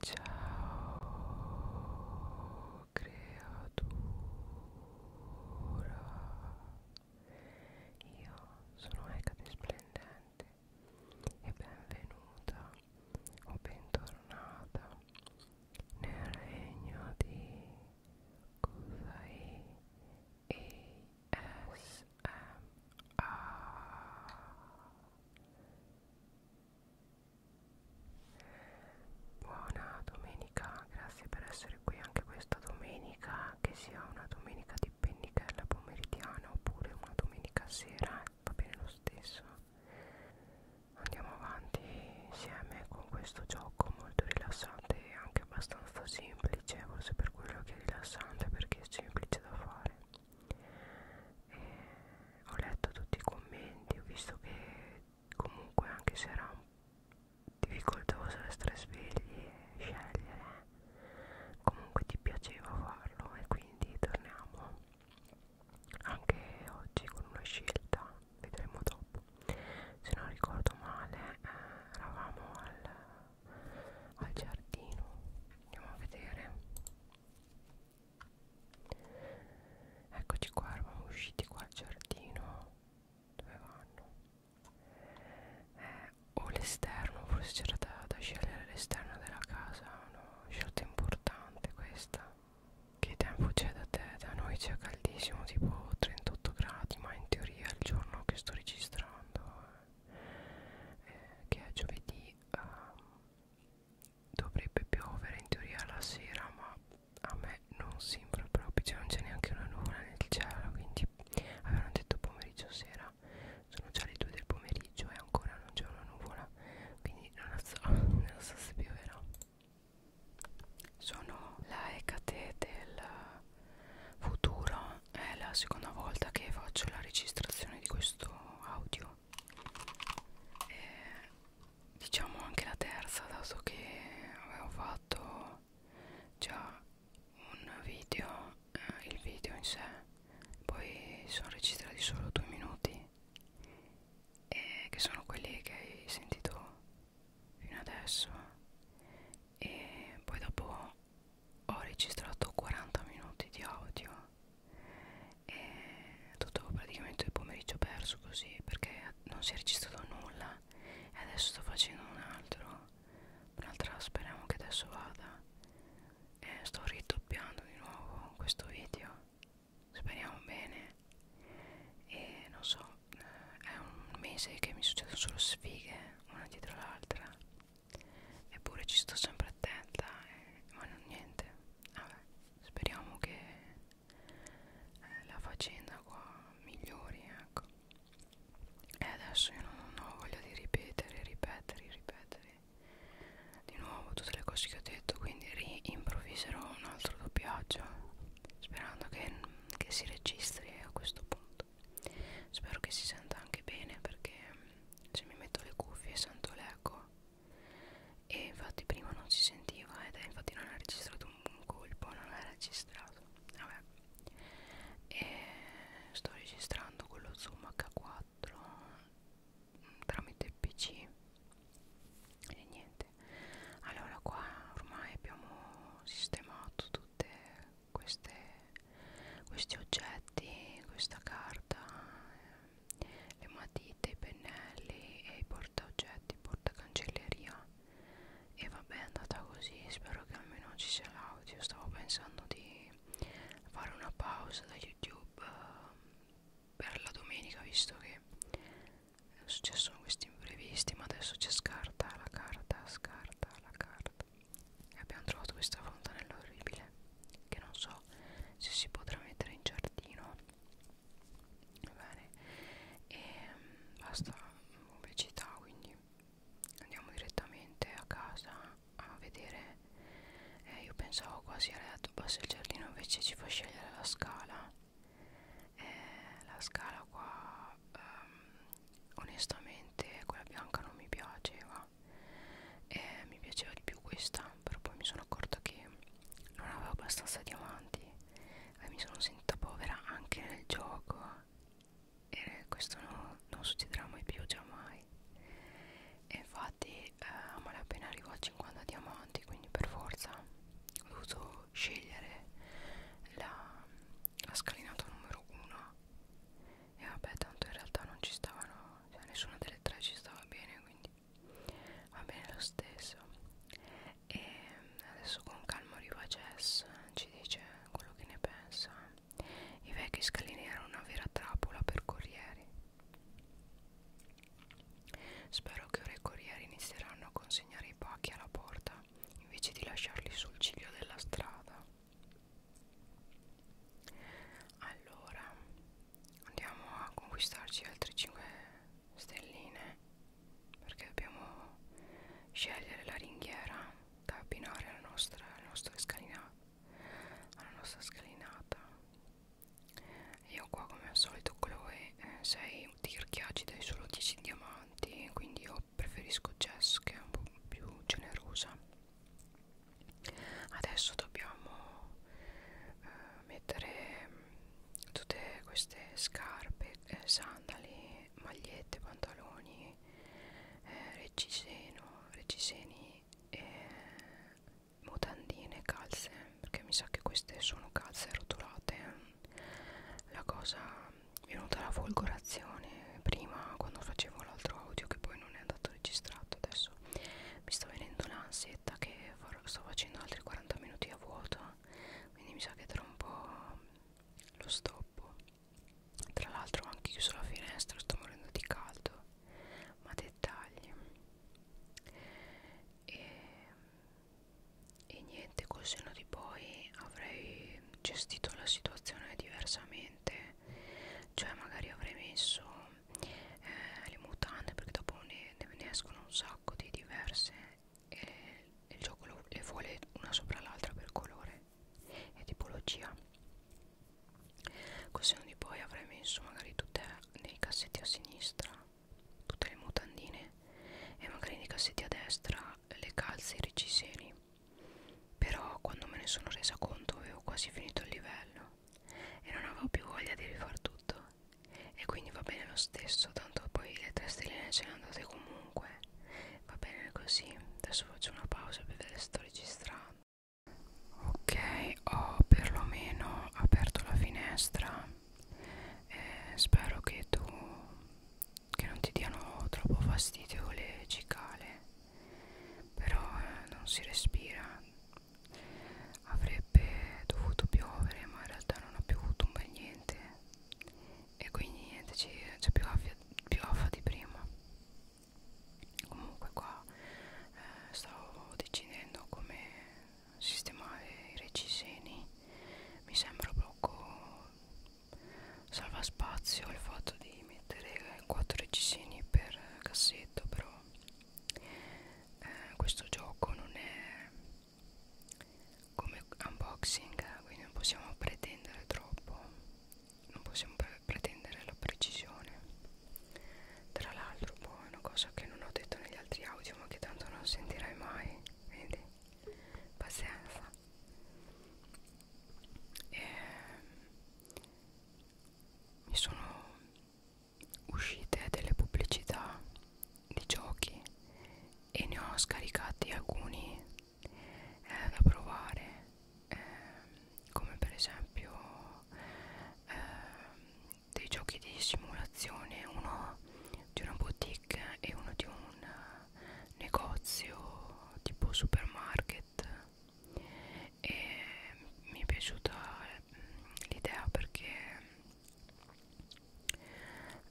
Ciao creatura, io sono Hecate Splendente e benvenuta o bentornata nel regno di Kusai ASMR Buona domenica, grazie per essere qui anche questa domenica, che sia una domenica di pennichella pomeridiana oppure una domenica sera, eh, va bene lo stesso. Andiamo avanti insieme con questo gioco molto rilassante e anche abbastanza semplice, forse per quello che è rilassante perché è semplice da fare. E eh, ho letto tutti i commenti, ho visto che comunque anche se era difficoltoso essere svegli e scegliere, comunque ti piaceva farlo e quindi torniamo anche oggi con una scelta, vedremo dopo. Se non ricordo male, eh, eravamo al, al giardino, andiamo a vedere Eccoci qua, eravamo usciti qua al giardino Dove vanno? Eh, o l'esterno, forse c'era da, da scegliere l'esterno della casa Una scelta importante questa Che tempo c'è da te? Da noi c'è caldissimo, tipo 38 gradi Ma in teoria il giorno che sto registrando eh, eh, Che è giovedì um, dovrebbe piovere in teoria la sera ma a me non sembra proprio cioè non c'è neanche una nuvola nel cielo quindi avevano detto pomeriggio sera sono già le 2 del pomeriggio e ancora non c'è una nuvola quindi non so, non so se pioverà sono la Ecate del futuro è la seconda volta che faccio la registrazione di questo audio e diciamo anche la terza dato che avevo fatto già un video eh, il video in sé poi sono registrati solo due minuti e che sono quelli che hai sentito fino adesso e poi dopo ho registrato 40 minuti di audio e tutto praticamente il pomeriggio perso così perché non si è registrato nulla e adesso sto facendo un altro un'altra speriamo che adesso vada e sto ridoppiando di nuovo questo video speriamo bene e non so è un mese che mi succedono solo sfighe una dietro l'altra eppure ci sto sempre attenta e, eh, ma non niente vabbè speriamo che eh, la faccenda qua migliori ecco e adesso io non, non ho voglia di ripetere ripetere ripetere di nuovo tutte le cose che ho detto quindi rimprovviserò un altro doppiaggio sperando che, che si registri a questo punto spero che si senta anche bene perché se cioè, mi metto le cuffie sento l'eco e infatti prima non si sentiva ed è infatti non ha registrato un colpo non ha registrato vabbè e sto registrando con lo zoom h4 mm, tramite il pc e niente allora qua ormai abbiamo sistemato tutte queste questi oggetti, questa carta, eh, le matite, i pennelli e i portaoggetti, portacancelleria e vabbè è andata così, spero che almeno ci sia l'audio, stavo pensando di fare una pausa da YouTube eh, per la domenica visto che è successo questi imprevisti ma adesso c'è scarta la carta, scarta la carta abbiamo trovato questa fontanella orribile che non so se si potrà mettere in giardino va bene e ehm, basta pubblicità quindi andiamo direttamente a casa a vedere eh, io pensavo quasi alla bassa il giardino invece ci fa scegliere la scala eh, la scala qua um, onestamente quella bianca non mi piaceva fa eh, mi piaceva di più questa però poi mi sono accorta che non avevo abbastanza diamanti e mi sono sentita povera anche nel gioco e questo no, non succederà mai più già mai e infatti eh, a malapena arrivo a 50 diamanti quindi per forza ho dovuto scegliere la, la scalinata numero 1 e vabbè tanto in realtà non ci stavano cioè nessuna delle tre ci stava bene quindi va bene lo stesso e adesso con calmo arriva Jess ci dice quello che ne pensa i vecchi scalini erano una vera trappola per corrieri spero che ora i corrieri inizieranno a consegnare i pacchi alla porta invece di lasciarli sul ciglio della strada allora andiamo a conquistarci altre 5 stelline perché dobbiamo scegliere la ringhiera da abbinare alla nostra, alla nostra scalina alla nostra scalinata io qua come al solito Chloe eh, sei di tirchiaggi dai solo 10 diamanti quindi io preferisco Jess che è un po' più generosa adesso dobbiamo eh, mettere tutte queste scarpe eh, sandali magliette pantaloni eh, reggiseno reggiseni e mutandine calze perché mi sa che queste sono calze rotolate la cosa mi è venuta la folgorazione prima quando facevo l'altro audio che poi non è andato registrato adesso mi sta venendo un'ansietta che farò, sto facendo altri 40 minuti a vuoto quindi mi sa che tra un po' lo stoppo tra l'altro ho anche chiuso la finestra sto morendo di caldo ma dettagli e, e niente col senno di poi avrei gestito la situazione diversamente cioè magari avrei messo eh, le mutande perché dopo ne, ne escono un sacco di diverse e il gioco lo, le vuole una sopra l'altra per colore e tipologia così di poi avrei messo magari tutte nei cassetti a sinistra tutte le mutandine e magari nei cassetti a destra le calze e i reggiseni però quando me ne sono resa conto avevo quasi finito il livello e non avevo più voglia di rifar tutto e quindi va bene lo stesso, tanto poi le tre stelline ce le andate comunque. Va bene così, adesso faccio una pausa per vedere se sto registrando. Ok, ho perlomeno aperto la finestra. Eh, spero che tu che non ti diano troppo fastidio le cicale però eh, non si respira avrebbe dovuto piovere ma in realtà non ha piovuto un bel niente e quindi niente c'è più afa più di prima comunque qua eh, stavo decidendo come sistemare i reciseni mi sembra poco salva spazio il fatto di mettere 4 reggiseni per cassetto però eh, questo gioco non è come unboxing quindi non possiamo pretendere troppo non possiamo pre pretendere la precisione tra l'altro poi boh, una cosa che non ho detto negli altri audio ma che tanto non sentirai mai quindi pazienza e ehm, mi sono uscite delle pubblicità di giochi e ne ho scaricati alcuni eh, da provare eh, come per esempio eh, dei giochi di simulazione uno di una boutique e uno di un negozio tipo supermarket e mi è piaciuta mm, l'idea perché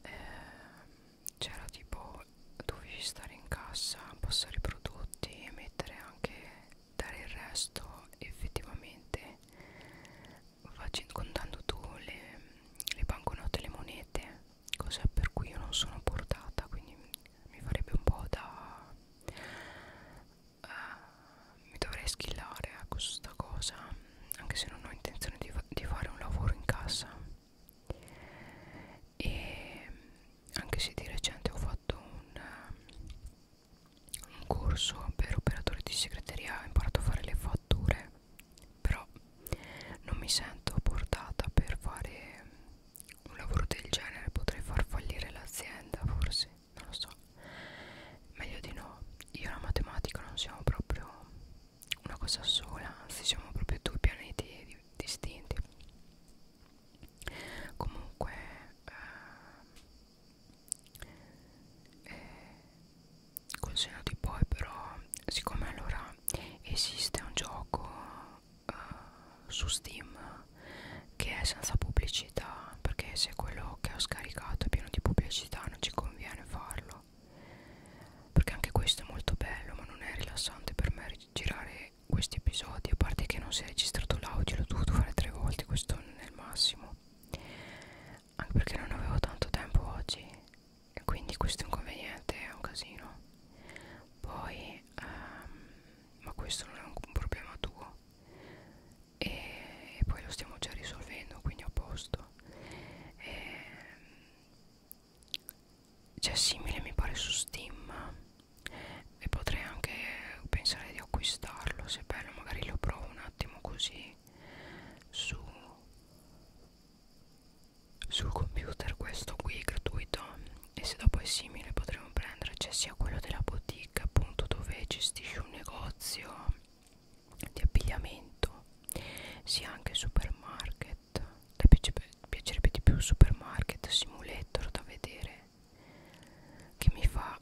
eh, c'era tipo dovevi stare in cassa passare i prodotti e mettere anche dare il resto effettivamente facendo, contando tu le, le banconote e le monete cosa per cui io non sono portata quindi mi farebbe un po' da uh, mi dovrei schillare a questa cosa anche se non ho intenzione di, fa di fare un lavoro in casa e anche se di recente ho fatto un, uh, un corso per operatore di segreteria ho imparato a fare le fatture però non mi sento portata per fare un lavoro del genere potrei far fallire l'azienda forse non lo so meglio di no io e la matematica non siamo proprio una cosa sola anzi siamo proprio due pianeti di distinti comunque eh, eh, col seno di poi però siccome allora esiste un gioco uh, su Steam che è senza pubblicità perché se quello che ho scaricato è pieno di pubblicità non ci conviene farlo perché anche questo è molto bello ma non è rilassante per me girare questi episodi a parte che non si è registrato l'audio l'ho dovuto fare tre volte questo non è il massimo anche perché non avevo tanto tempo oggi e quindi questo inconveniente è un casino poi ehm, ma questo non è un problema tuo e, e poi lo stiamo già risolvendo quindi a posto ehm, c'è cioè, simile mi pare su Steam e potrei anche pensare di acquistarlo se è bello magari lo provo un attimo così su sul computer questo qui gratuito e se dopo è simile potremo prendere c'è cioè sia quello della boutique appunto dove gestisci un negozio di abbigliamento sia anche supermarket le piace, piacerebbe di più supermarket simulator da vedere che mi fa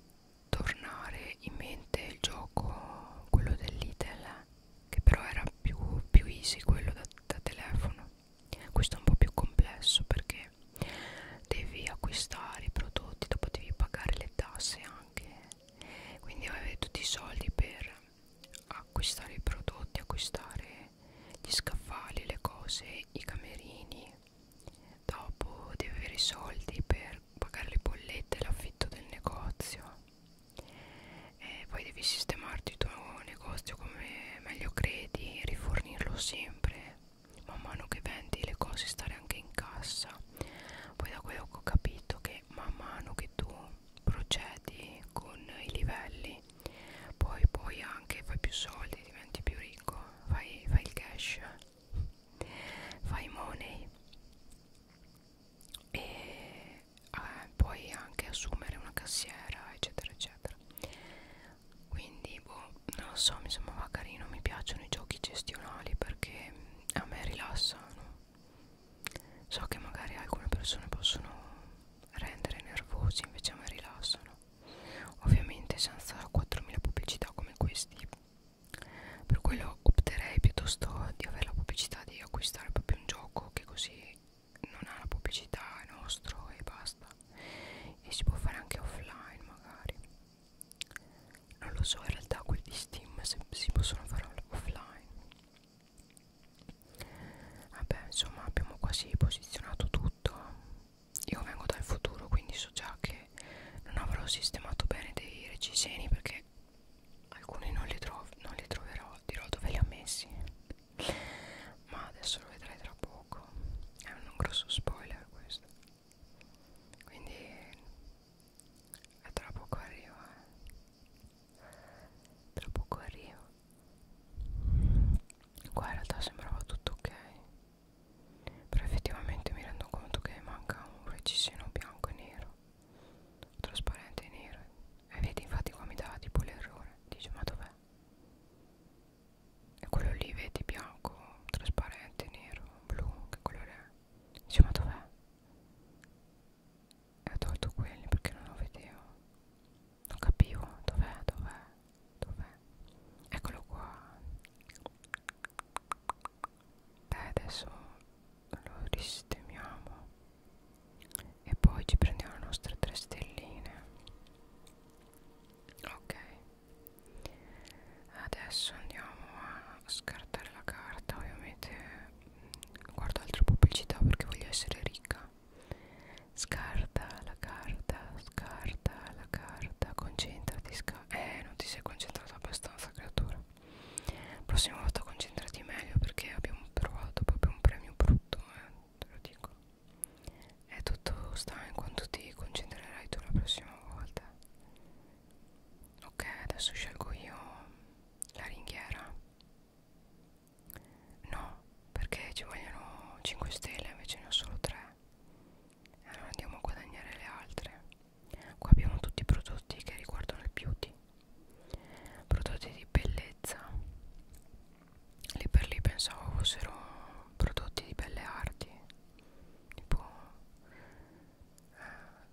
tornare in mente il gioco quello dell'Itel che però era più, più easy quello da, da telefono questo è un po' più complesso perché devi acquistare i prodotti dopo devi pagare le tasse anche quindi avete tutti i soldi per acquistare i prodotti acquistare gli scaffali le cose i camerini dopo devi avere i soldi per pagare le bollette l'affitto del negozio e poi devi sistemarti il tuo negozio come meglio credi rifornirlo sempre man mano che vendi le cose stare anche in cassa poi da quello che ho capito che man mano che tu procedi con i livelli poi poi anche fai più soldi diventi più ricco fai, fai il cash fai money e eh, poi anche assumere una cassiera eccetera eccetera eccetera quindi boh non lo so mi sembrava carino mi piacciono i giochi gestionali perché a me rilassano so che magari alcune persone possono rendere nervosi invece a me rilassano ovviamente senza 4000 pubblicità come questi per quello opterei piuttosto di avere la pubblicità di acquistare proprio un gioco che così non ha la pubblicità, è nostro e basta e si può fare anche offline magari non lo so in realtà quelli di Steam se si possono fare offline vabbè insomma abbiamo quasi posizionato tutto io vengo dal futuro quindi so già che non avrò sistemato bene dei reggiseni perché alcuni non li, non li troverò dirò dove li ho messi ma adesso lo vedrai tra poco è un grosso spoiler questo quindi tra poco arrivo eh. tra poco arrivo qua in realtà sembrava tutto ok però effettivamente mi rendo conto che manca un reggiseno bianco e nero trasparente e nero e vedi infatti qua mi dava tipo l'errore dice ma dov'è e quello lì vedi bianco, trasparente, nero, blu, che colore è? Dice ma dov'è? E ho tolto quelli perché non lo vedevo Non capivo, dov'è, dov'è, dov'è Eccolo qua Beh adesso lo ristemiamo e poi ci prendiamo le nostre tre stelline ok adesso andiamo a scartare la carta ovviamente guardo altre pubblicità perché voglio essere ricca scarta la carta scarta la carta concentrati sca eh non ti sei concentrata abbastanza creatura prossima volta concentrati meglio perché abbiamo provato proprio un premio brutto eh te lo dico è tutto sta in quanto ti concentrerai tu la prossima volta ok adesso scelgo io la ringhiera no perché ci vogliono 5 stelle invece ne ho solo 3 allora andiamo a guadagnare le altre qua abbiamo tutti i prodotti che riguardano il beauty prodotti di bellezza lì per lì pensavo fossero prodotti di belle arti tipo eh,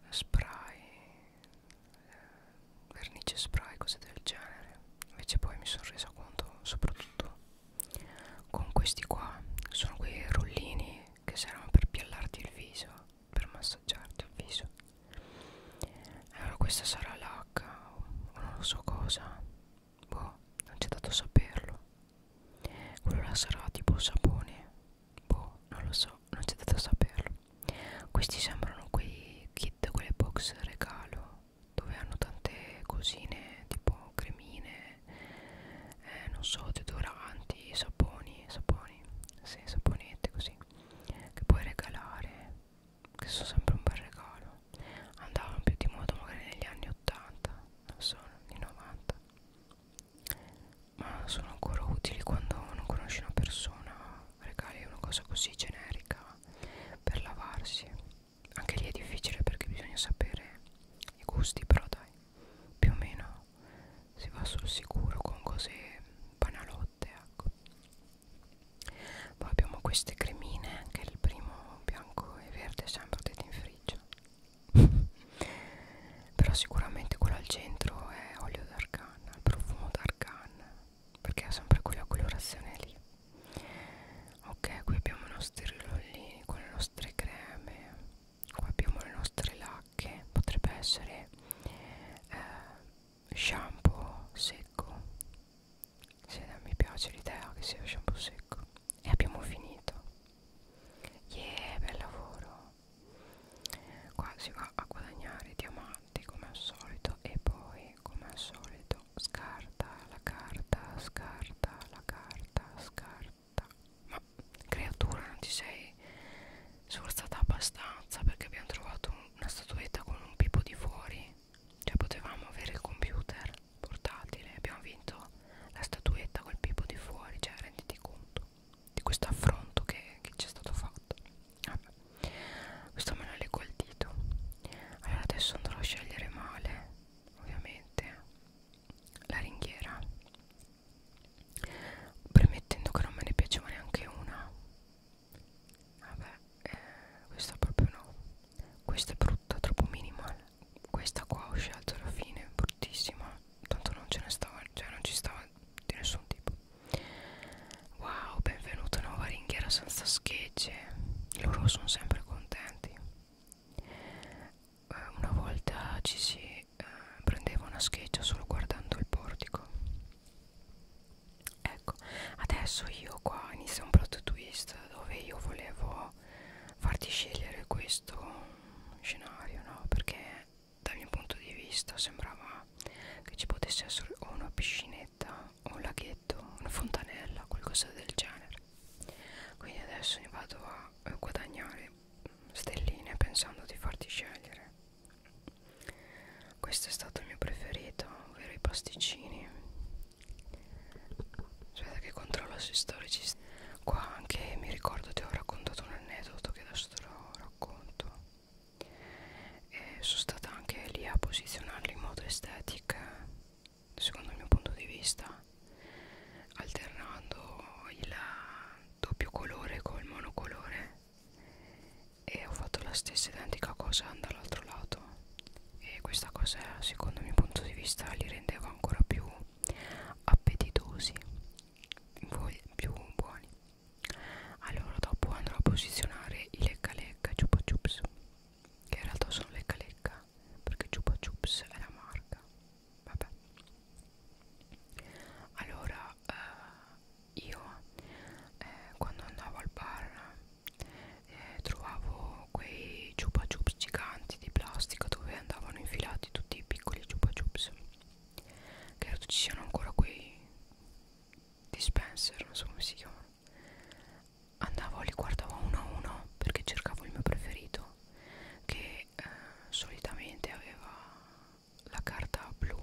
spray eh, vernice spray cose del genere invece poi mi sono resa conto soprattutto con questi qua sono quei rollini che servono per piallarti il viso per massaggiarti il viso allora eh, questa sarà l'H o non lo so cosa boh non c'è dato saperlo quello là sarà tipo sapone boh non lo so non c'è dato saperlo questi sembrano quei kit quelle box regalo dove hanno tante cosine tipo cremine eh, non so deodoranti saponi saponi sì, saponette così che puoi regalare che sono sempre un bel regalo andavano più di moda magari negli anni 80 non so, anni 90 ma sono ancora utili quando non conosci una persona regali una cosa così generica per lavarsi anche lì è difficile perché bisogna sapere i gusti però dai più o meno si va sul sicuro con cose banalotte notte ecco poi abbiamo queste cremine anche il primo bianco e verde sempre detto in friggio però sicuramente quello al centro è olio d'argan il profumo d'argan perché ha sempre quella colorazione lì ok qui abbiamo i nostri rollini con le nostre creme qua abbiamo le nostre lacche potrebbe essere eh, shampoo secco se non mi piace l'idea che sia shampoo secco e abbiamo finito yeah bel lavoro qua si va a guadagnare diamanti come al solito e poi come al solito scarta la carta scarta la carta scarta ma creatura non ti sei sforzata abbastanza perché abbiamo trovato una statuetta con un pipo di fuori cioè potevamo avere il computer portatile abbiamo vinto la statuetta col pipo di fuori cioè renditi conto di questo affronto che ci è stato fatto ah, questo me lo leggo al dito allora adesso andrò a scegliere male ovviamente la ringhiera premettendo che non me ne piaceva neanche una vabbè eh, questa proprio no questa è brutta troppo minimal eh. questa qua ho scelto alla fine bruttissima tanto non ce ne stava cioè non ci stava di nessun tipo wow benvenuta nuova ringhiera senza schegge loro sono sempre contenti eh, una volta ci si eh, prendeva una scheggia solo guardando il portico ecco adesso io qua inizia un plot twist dove io volevo farti scegliere questo scenario no perché dal mio punto di vista sembrava che ci potesse essere o una piscinetta o un laghetto una fontanella qualcosa del genere quindi adesso ne vado a guadagnare stelline pensando di farti scegliere questo è stato il mio preferito ovvero i pasticcini aspetta che controllo sui storici qua anche mi ricordo ti ho raccontato un aneddoto che adesso te lo racconto e sono stata anche lì a posizionarli in modo estetico secondo il mio punto di vista alternando il doppio colore col monocolore e ho fatto la stessa identica cosa dall'altro lato e questa cosa secondo il mio punto di vista li rendeva ancora più appetitosi più buoni allora dopo andrò a posizionare i lecca lecca chupa chups che in realtà sono lecca lecca perché chupa chups è la marca vabbè allora eh, io eh, quando andavo al bar eh, trovavo quei chupa chups giganti di plastica dove andavano infilati tutti i piccoli chupa chups credo ci siano ancora quei dispenser non so come si chiamano andavo li guardavo uno a uno perché cercavo il mio preferito che eh, solitamente aveva la carta blu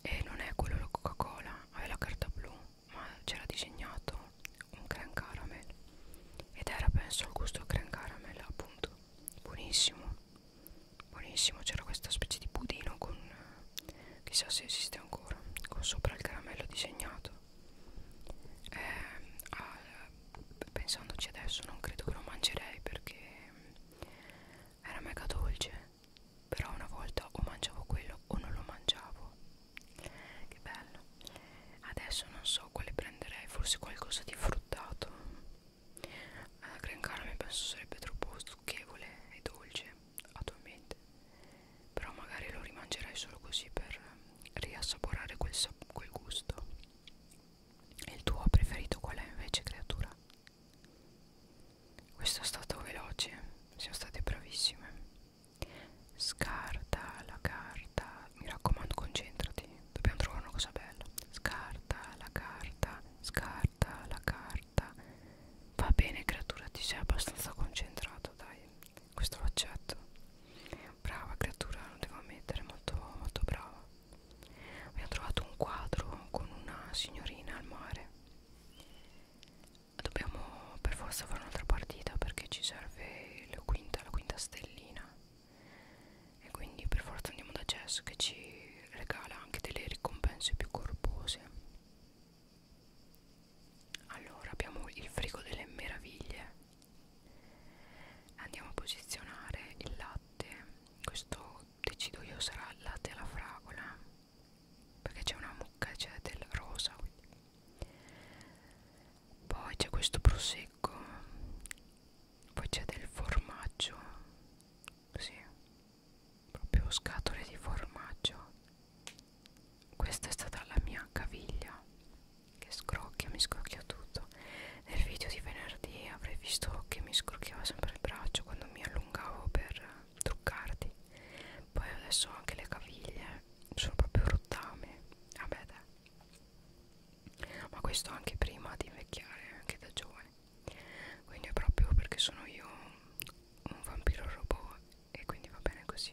e non è quello la coca cola è la carta blu ma c'era disegnato un cran caramel ed era penso il gusto cran caramel appunto buonissimo buonissimo c'era questa specie di budino con chissà se esiste ancora con sopra il caramello disegnato eh, ah, pensandoci adesso non credo che lo mangerei perché era mega dolce però una volta o mangiavo quello o non lo mangiavo che bello adesso non so quale prenderei forse qualcosa di fruttato la eh, gran carne penso sarebbe troppo stucchevole e dolce attualmente però magari lo rimangerai solo così per riassaporare quel, quel gusto e il tuo preferito qual è invece creatura? Questo è stato veloce, siamo state bravissime. Scarta la carta, mi raccomando concentrati, dobbiamo trovare una cosa bella. Scarta la carta, scarta la carta. Va bene creatura, ti sei abbastanza concentrato, dai, questo lo accetto. Brava creatura, non devo ammettere, molto, molto brava. Abbiamo trovato un quadro con una signorina al mare Dobbiamo per forza fare un'altra partita perché ci serve la quinta, la quinta stellina. E quindi per forza andiamo da Jess che ci regala anche delle ricompense più corpose. Allora abbiamo il frigo delle meraviglie. Andiamo a posizionare il latte. Questo decido io sarà latte alla fragola perché c'è una mucca c'è del rosa quindi. poi c'è questo prosecco poi c'è del formaggio sì proprio scatole di formaggio questa è stata la mia caviglia che scrocchia mi scrocchia tutto nel video di venerdì avrei visto che mi scrocchiava sempre il braccio quando mi allungavo per truccarti poi adesso anche le caviglie sono proprio rottame vabbè dai ma questo anche prima di invecchiare anche da giovane quindi è proprio perché sono io un vampiro robot e quindi va bene così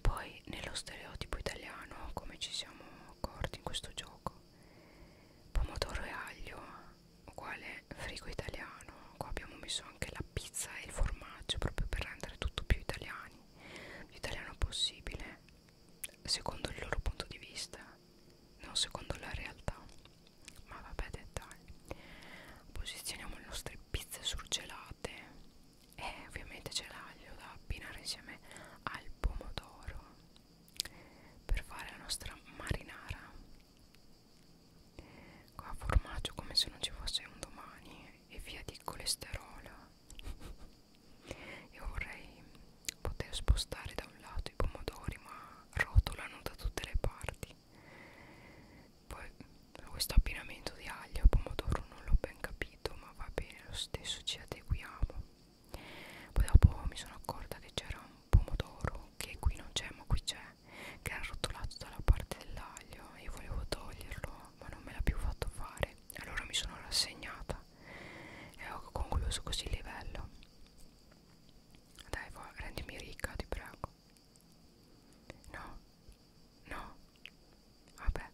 poi nello stereotipo italiano come ci siamo accorti in questo gioco pomodoro e aglio uguale frigo italiano qua abbiamo messo anche la pizza e il formaggio proprio per rendere tutto più italiani più italiano possibile secondo il loro punto di vista non secondo la realtà ma vabbè dettagli posizioniamo le nostre pizze surgelate e ovviamente c'è l'aglio da abbinare insieme al pomodoro per fare la nostra marinara qua formaggio come se non ci fosse un domani e via di colesterolo io vorrei poter spostare da un lato i pomodori ma rotolano da tutte le parti poi questo abbinamento di aglio e pomodoro non l'ho ben capito ma va bene lo stesso ci adeguiamo poi dopo mi sono accorta che c'era un pomodoro che qui non c'è ma qui c'è che era rotolato dalla parte dell'aglio io volevo toglierlo ma non me l'ha più fatto fare allora mi sono rassegnata e ho concluso così il livello dai va, rendimi ricca ti prego no no vabbè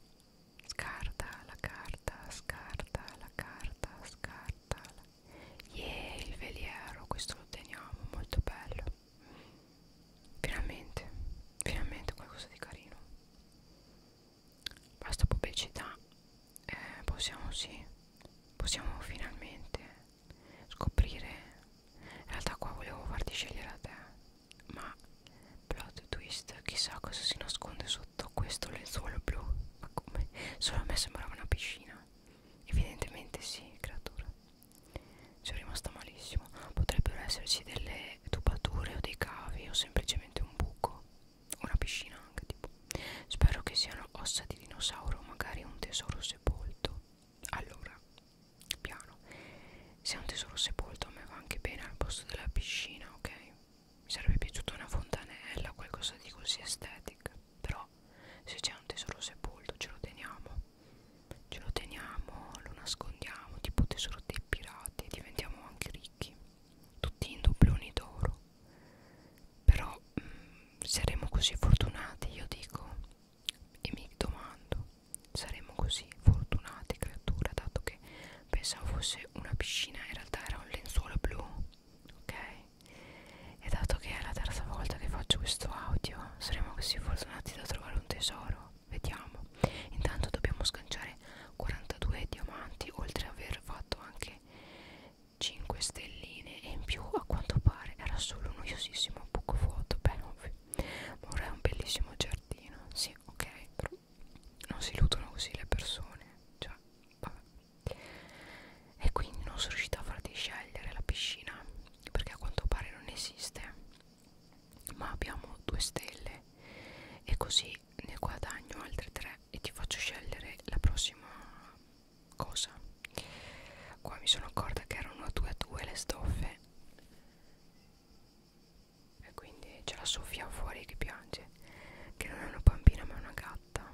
scarta la carta scarta la carta scarta la yeah, il veliero questo lo teniamo molto bello finalmente finalmente qualcosa di carino basta pubblicità eh, possiamo sì possiamo finalmente scoprire in realtà qua volevo farti scegliere a te ma plot twist chissà cosa si nasconde sotto questo lenzuolo blu ma come solo a me sembrava una piscina Evidentemente sì, creatura. Ci è rimasta malissimo. Potrebbero esserci delle tubature o dei cavi o semplicemente un buco. Una piscina anche tipo. Spero che siano ossa di dinosauro o magari un tesoro sepolto. Allora, piano. Se è un tesoro sepolto a me va anche bene al posto della piscina, ok? Mi sarebbe piaciuta una fontanella, qualcosa di così estetica però se c'è un tesoro sepolto ce lo teniamo ce lo teniamo lo nascondiamo tipo tesoro dei pirati e diventiamo anche ricchi tutti in doppioni d'oro però mh, mm, saremo così fortunati io dico e mi domando saremo così fortunati creatura dato che pensavo fosse una piscina in realtà era un lenzuolo blu ok e dato che è la terza volta che faccio questo audio, saremo così fortunati da trovare un tesoro. Vediamo. Intanto dobbiamo sganciare 42 diamanti, oltre ad aver fatto anche 5 stelline. E in più, a quanto pare, era solo un noiosissimo buco vuoto. Beh, ovvio. Ma ora è un bellissimo giardino. Sì, ok, però non si illudono così le persone. Cioè, vabbè e quindi non sono riuscita a farti scegliere la piscina perché a quanto pare non esiste ma abbiamo due stelle e così ne guadagno altre tre e ti faccio scegliere la prossima cosa qua mi sono accorta che erano due a due le stoffe e quindi c'è la Sofia fuori che piange che non è una bambina ma è una gatta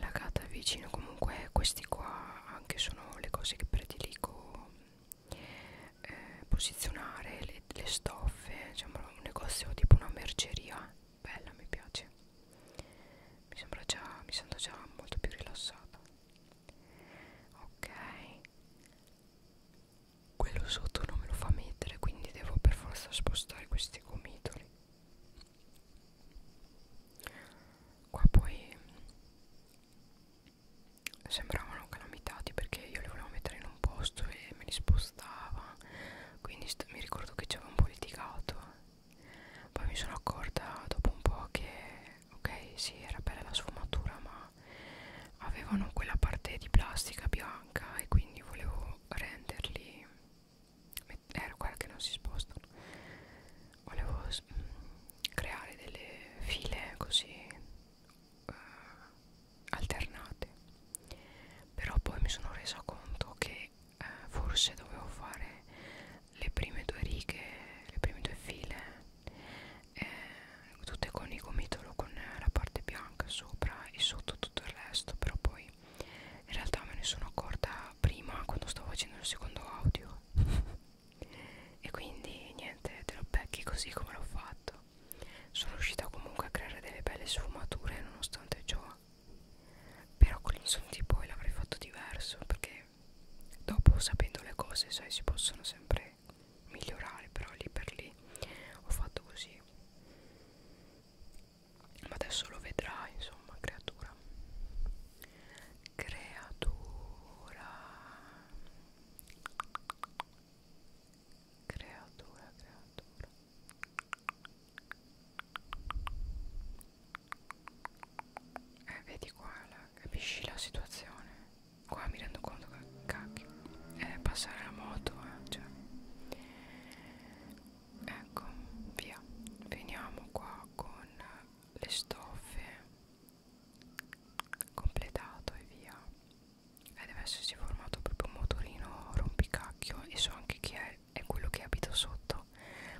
la cata è vicino comunque questi qua anche sono le cose che prediligo eh, posizionare le, le stoffe sembra un negozio tipo una merceria bella mi piace mi sembra già mi sento già molto più rilassata ok quello sotto non me lo fa mettere quindi devo per forza spostare questi gomitoli qua poi sembravano calamitati perché io li volevo mettere in un posto e me li spostava quindi mi ricordo che ci avevamo politicato poi mi sono accorta dopo un po' che ok sì era bella la sfumatura ma avevano quella parte di plastica bianca e quindi volevo renderli era quella che non si spostano volevo mm, creare delle file così uh, alternate però poi mi sono resa conto che uh, forse dovevo fare le prime due righe le prime due file eh, tutte con il gomitolo con la parte bianca sopra e sotto tutto il resto però poi in realtà me ne sono accorta prima quando stavo facendo il secondo audio e quindi niente te lo becchi così come l'ho fatto sono riuscita comunque a creare delle belle sfumature nonostante ciò però con gli insulti poi l'avrei fatto diverso perché dopo sapendo le cose sai si possono sempre migliorare però lì per lì ho fatto così ma adesso lo vedrai insomma creatura creatura creatura creatura eh vedi qua la, capisci la situazione qua mi rendo conto che cacchio eh, passare la moto eh, cioè ecco via veniamo qua con le stoffe completato e via e deve essersi formato proprio un motorino rompicacchio e so anche chi è è quello che abita sotto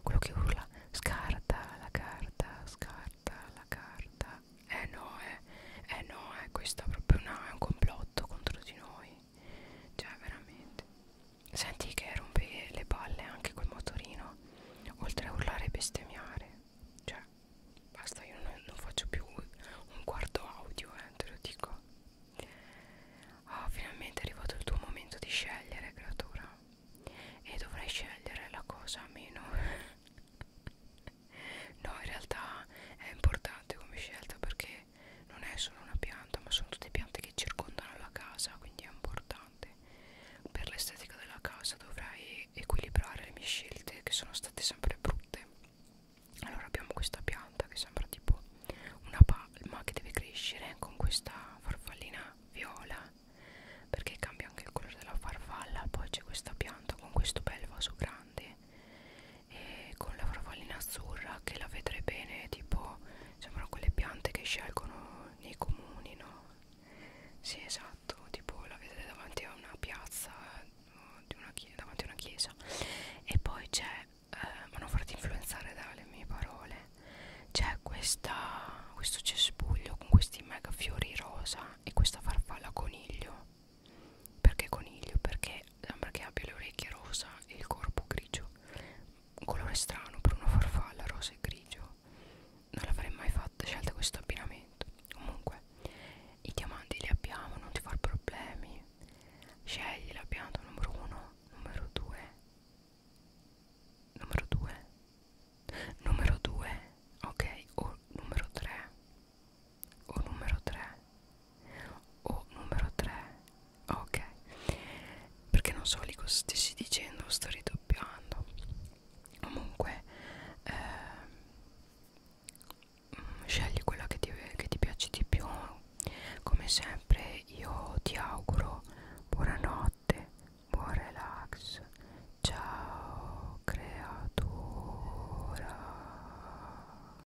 quello che urla scarta la carta scarta la carta eh no eh, eh no è eh, questo è proprio una, è un complotto contro di noi cioè veramente senti che rompe le palle anche col motorino oltre a urlare e bestemmiare cioè basta io non, non faccio più un quarto audio eh, te lo dico oh finalmente è arrivato il tuo momento di scegliere creatura e dovrai scegliere la cosa meno no in realtà è importante come scelta perché non è solo una pianta ma sono tutte piante che circondano la casa quindi è importante per l'estetica della casa dovrai equilibrare le mie scelte che sono state sempre brutte allora abbiamo questa pianta che sembra tipo una palma che deve crescere con questa farfallina viola perché cambia anche il colore della farfalla poi c'è questa pianta con questo bel vaso grande e con la farfallina azzurra che la vedrei bene tipo sembrano quelle piante che scelgono nei comuni no? sì esatto tipo la vedrei davanti a una piazza di una davanti a una chiesa e poi c'è eh, ma non farti influenzare dalle mie parole c'è questo cespuglio con questi mega fiori rosa e questa farfalla coniglio perché coniglio? Perché sembra che abbia le orecchie rosa e il corpo grigio un colore strano per una farfalla rosa e grigio non l'avrei mai fatta scelta questo abbinamento comunque i diamanti li abbiamo non ti far problemi scegli la pianta numero 1 numero 2 numero 2 numero 2 ok o numero 3 o numero 3 o numero 3 ok perché non so lì cosa stessi dicendo sto ridoppiando comunque eh, scegli quella che ti, che ti piace di più come sempre io ti auguro buonanotte buon relax ciao creatura